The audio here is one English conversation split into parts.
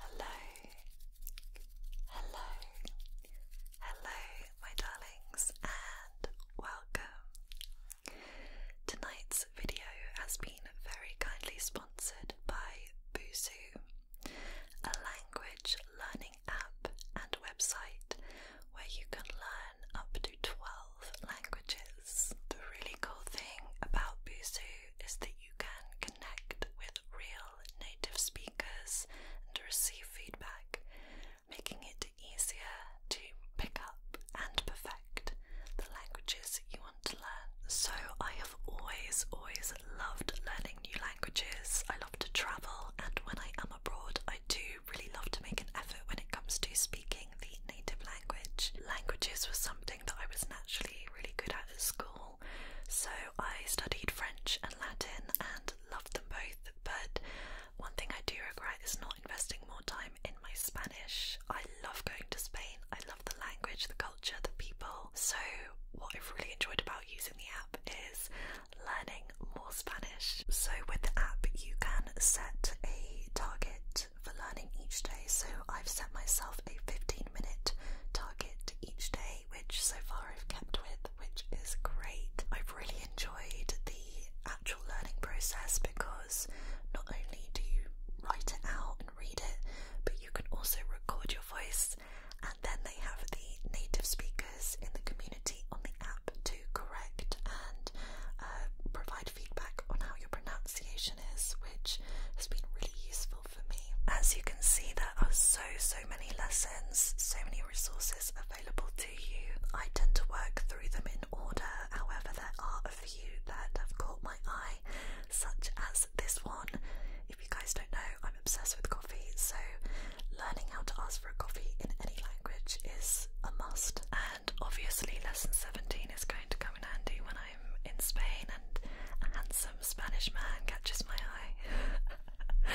Hello, hello, hello, my darlings, and welcome. Tonight's video has been very kindly sponsored by Busuu, a language learning app and website where you can learn up to 12 languages. The really cool thing about Busuu is that you can connect with real native speakers and receive feedback, making it easier to pick up and perfect the languages you want to learn. So, I have always, always loved learning new languages. I love to travel, and when I am abroad, I do really love to make an effort when it comes to speaking the native language. Languages were something that I was naturally really good at school. So I studied French and Latin and loved them both, but one thing I do regret is not investing more time in my Spanish. I love going to Spain, I love the language, the culture, the people. So, what I've really enjoyed about using the app is learning more Spanish. So, with the app, you can set a target for learning each day, so I've set myself a 15 minute target each day, which so far I've kept with, which is great. I've really enjoyed the actual learning process because not only do you write it out and read it, but you can also record your voice, and then they have the native speakers in the community on the app to correct and uh, provide feedback on how your pronunciation is, which has been really useful for me. As you can see, there are so, so many lessons, so many resources available to you. I tend to work through them in order, however, there are a few that have caught my eye, such as this one. If you guys don't know, I'm obsessed with coffee, so learning how to ask for a coffee in any language is a must. And obviously, lesson 17 is going to come in handy when I'm in Spain and a handsome Spanish man catches my eye.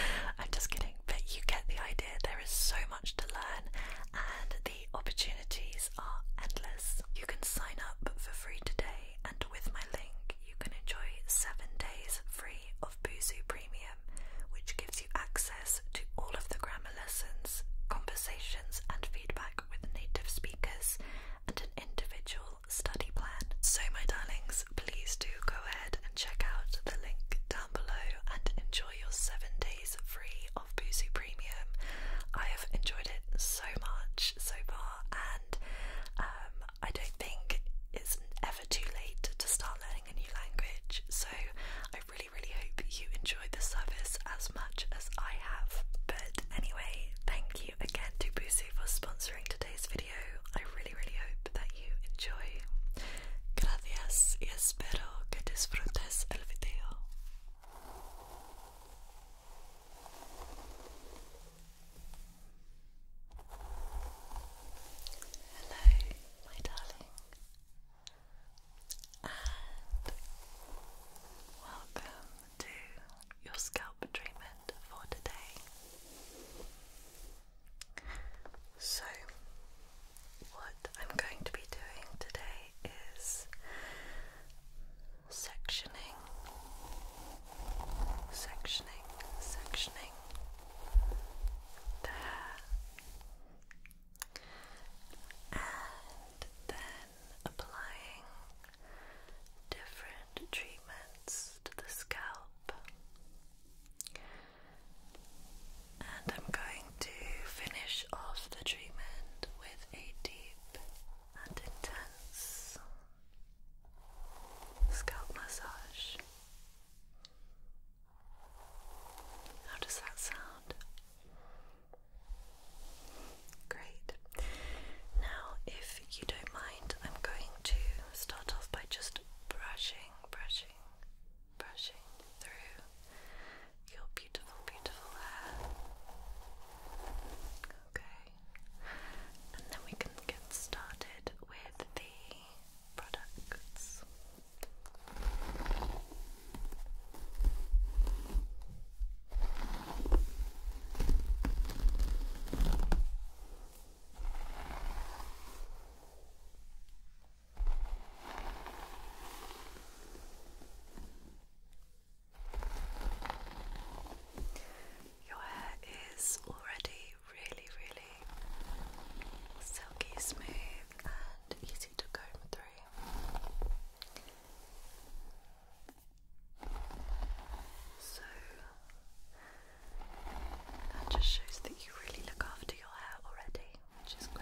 I'm just kidding, but you get the idea. There is so much to learn, and the opportunities are endless. You can sign up for free today, and with my link, you can enjoy seven days free of Buzu Premium, which gives you access to all of the grammar lessons, conversations, and feedback with native speakers and an individual study plan. So, my darlings, please do go ahead and check out the link down below and enjoy your seven days free of Boozy Premium. I have enjoyed it so much so far, and um, I don't think it's ever too late to start learning a new language. So, I really, really hope you enjoyed the service as much as I have. But anyway, thank you again to Busu for sponsoring today's video. I really, really hope that you enjoy. Gracias espero que disfrutes el video. Hello, my darling and welcome to your scalp treatment for today. So, what I'm going to be doing today is sectioning, sectioning, sectioning the and then applying different treatments to the scalp. And I'm going to finish off the treatment with a deep and intense scalp massage. How does that sound? Great. Now, if you don't mind, I'm going to start off by just brushing, brushing, brushing through your beautiful, beautiful hair. Okay. And then we can get started with the products. Your hair is already really, really silky smooth and easy to comb through. So that just shows that you really look after your hair already, which is great.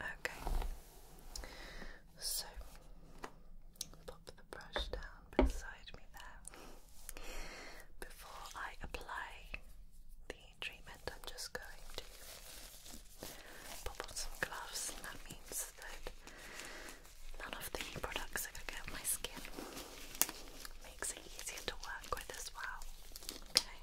Okay, so pop the brush down beside me there. Before I apply the treatment, I'm just going to pop on some gloves, and that means that none of the products are going to get my skin. Makes it easier to work with as well. Okay.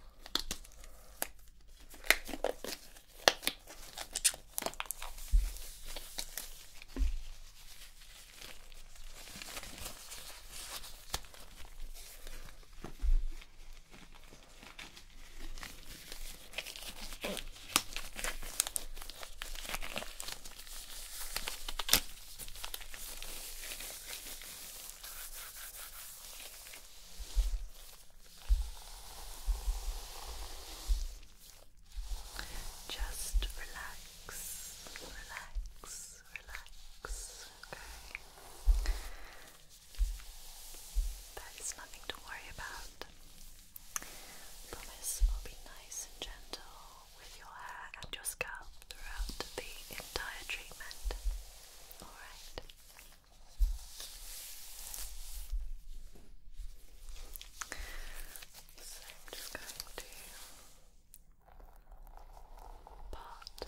Just relax, relax, relax, okay. That is nothing to worry about. I promise I'll be nice and gentle with your hair and your scalp throughout the entire treatment. Alright. So I'm just going to part the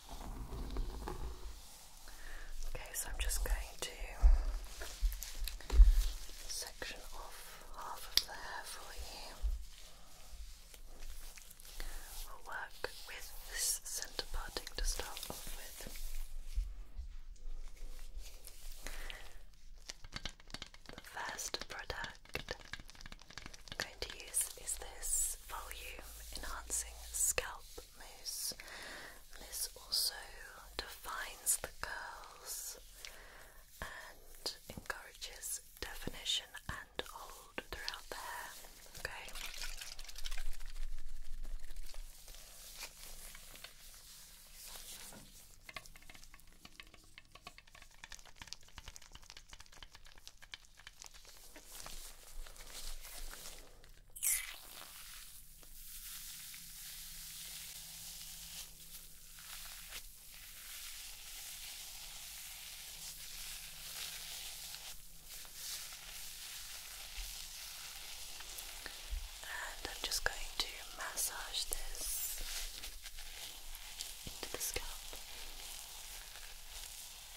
Okay, so I'm just going to section off half of the hair for you. We'll work with this centre parting to start off with. The first product I'm going to use is this volume enhancing scalp loose. This also defines the curls and encourages definition and hold throughout the hair. Okay, and I'm just going to massage this into the scalp. Good.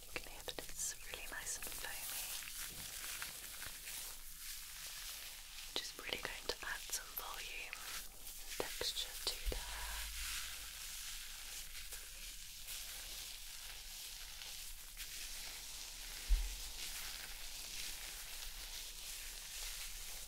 You can hear that it's really nice and foamy. Which is really going to add some volume and texture to the hair.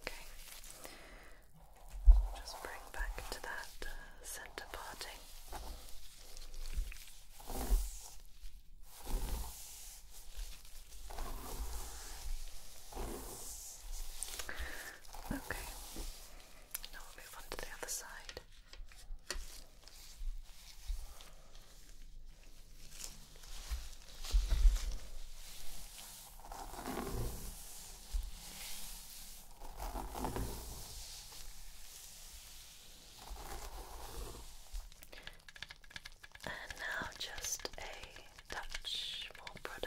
Okay, just bring back to that uh, center parting. Okay, now we'll move on to the other side. And now just a touch more product.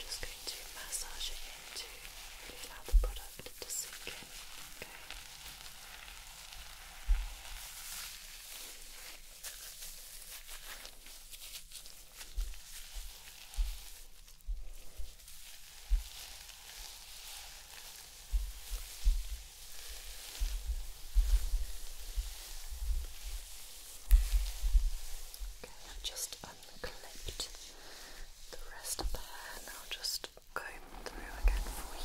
I'm just going to massage it in really allow the product to sink in. Okay. Okay, I've just unclipped the rest of the hair and I'll just comb through again for you.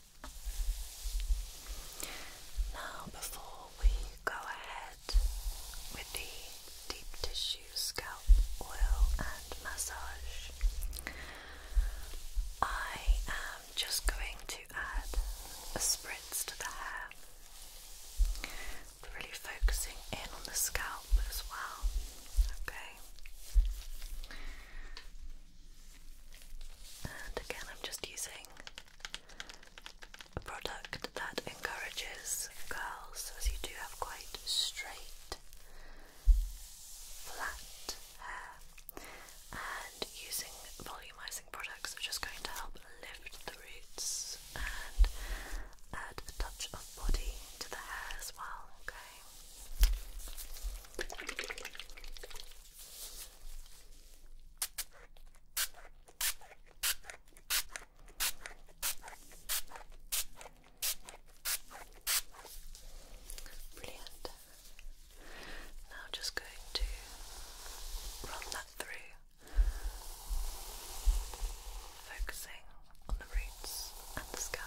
Now, before we go ahead with the deep tissue scalp oil and massage, I am just going to add a spritz to the hair, really focusing in on the scalp as well. Okay. And again, I'm just using a product that encourages curls, as you do have quite straight, flat hair, and using volumizing products are just going to help lift the roots and add a touch of body to the hair as well. Okay. Brilliant. Now just going to run that through, focusing on the roots and the scalp.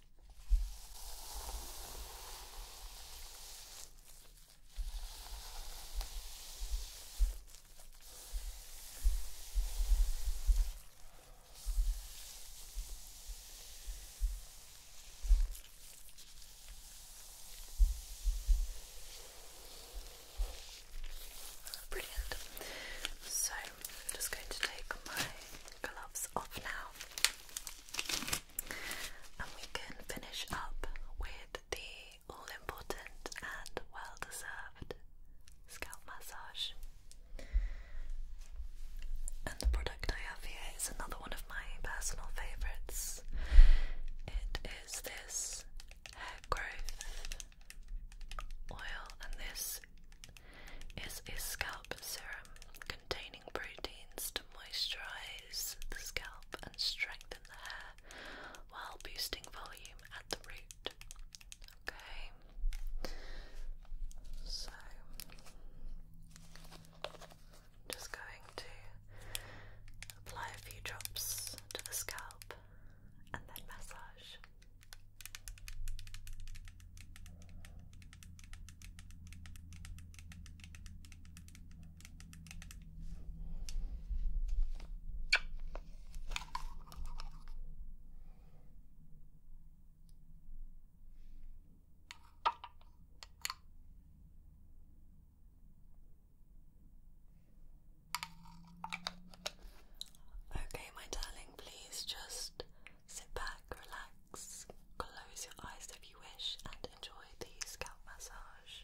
Brilliant. So I'm just going to take my gloves off now. And we can finish up with the all important and well deserved scalp massage. And the product I have here is another one of my personal favourites. It is this hair growth oil, and this is a scalp serum containing proteins to moisturize the scalp and strengthen the hair while boosting volume at the root. Okay, so just going to apply a few drops to the scalp and then massage. Okay, my darling, please just sit back, relax, Close your eyes if you wish and enjoy the scalp massage.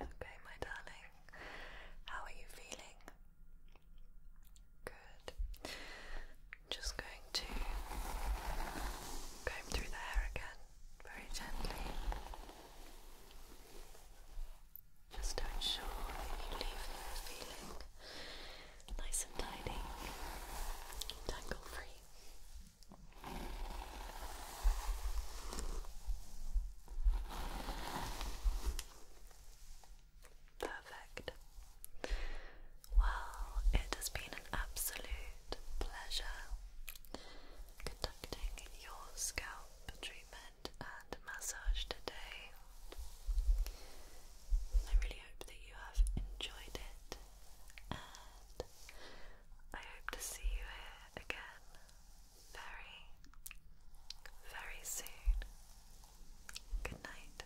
Okay, my darling, how are you feeling? Good. Just going to comb through the hair again very gently. Just ensure that you leave here feeling nice and tidy, tangle free. Perfect. Well, it has been an absolute pleasure conducting your scalp treatment and massage today. I really hope that you have enjoyed it, and I hope to see you here again very, very soon. Good night.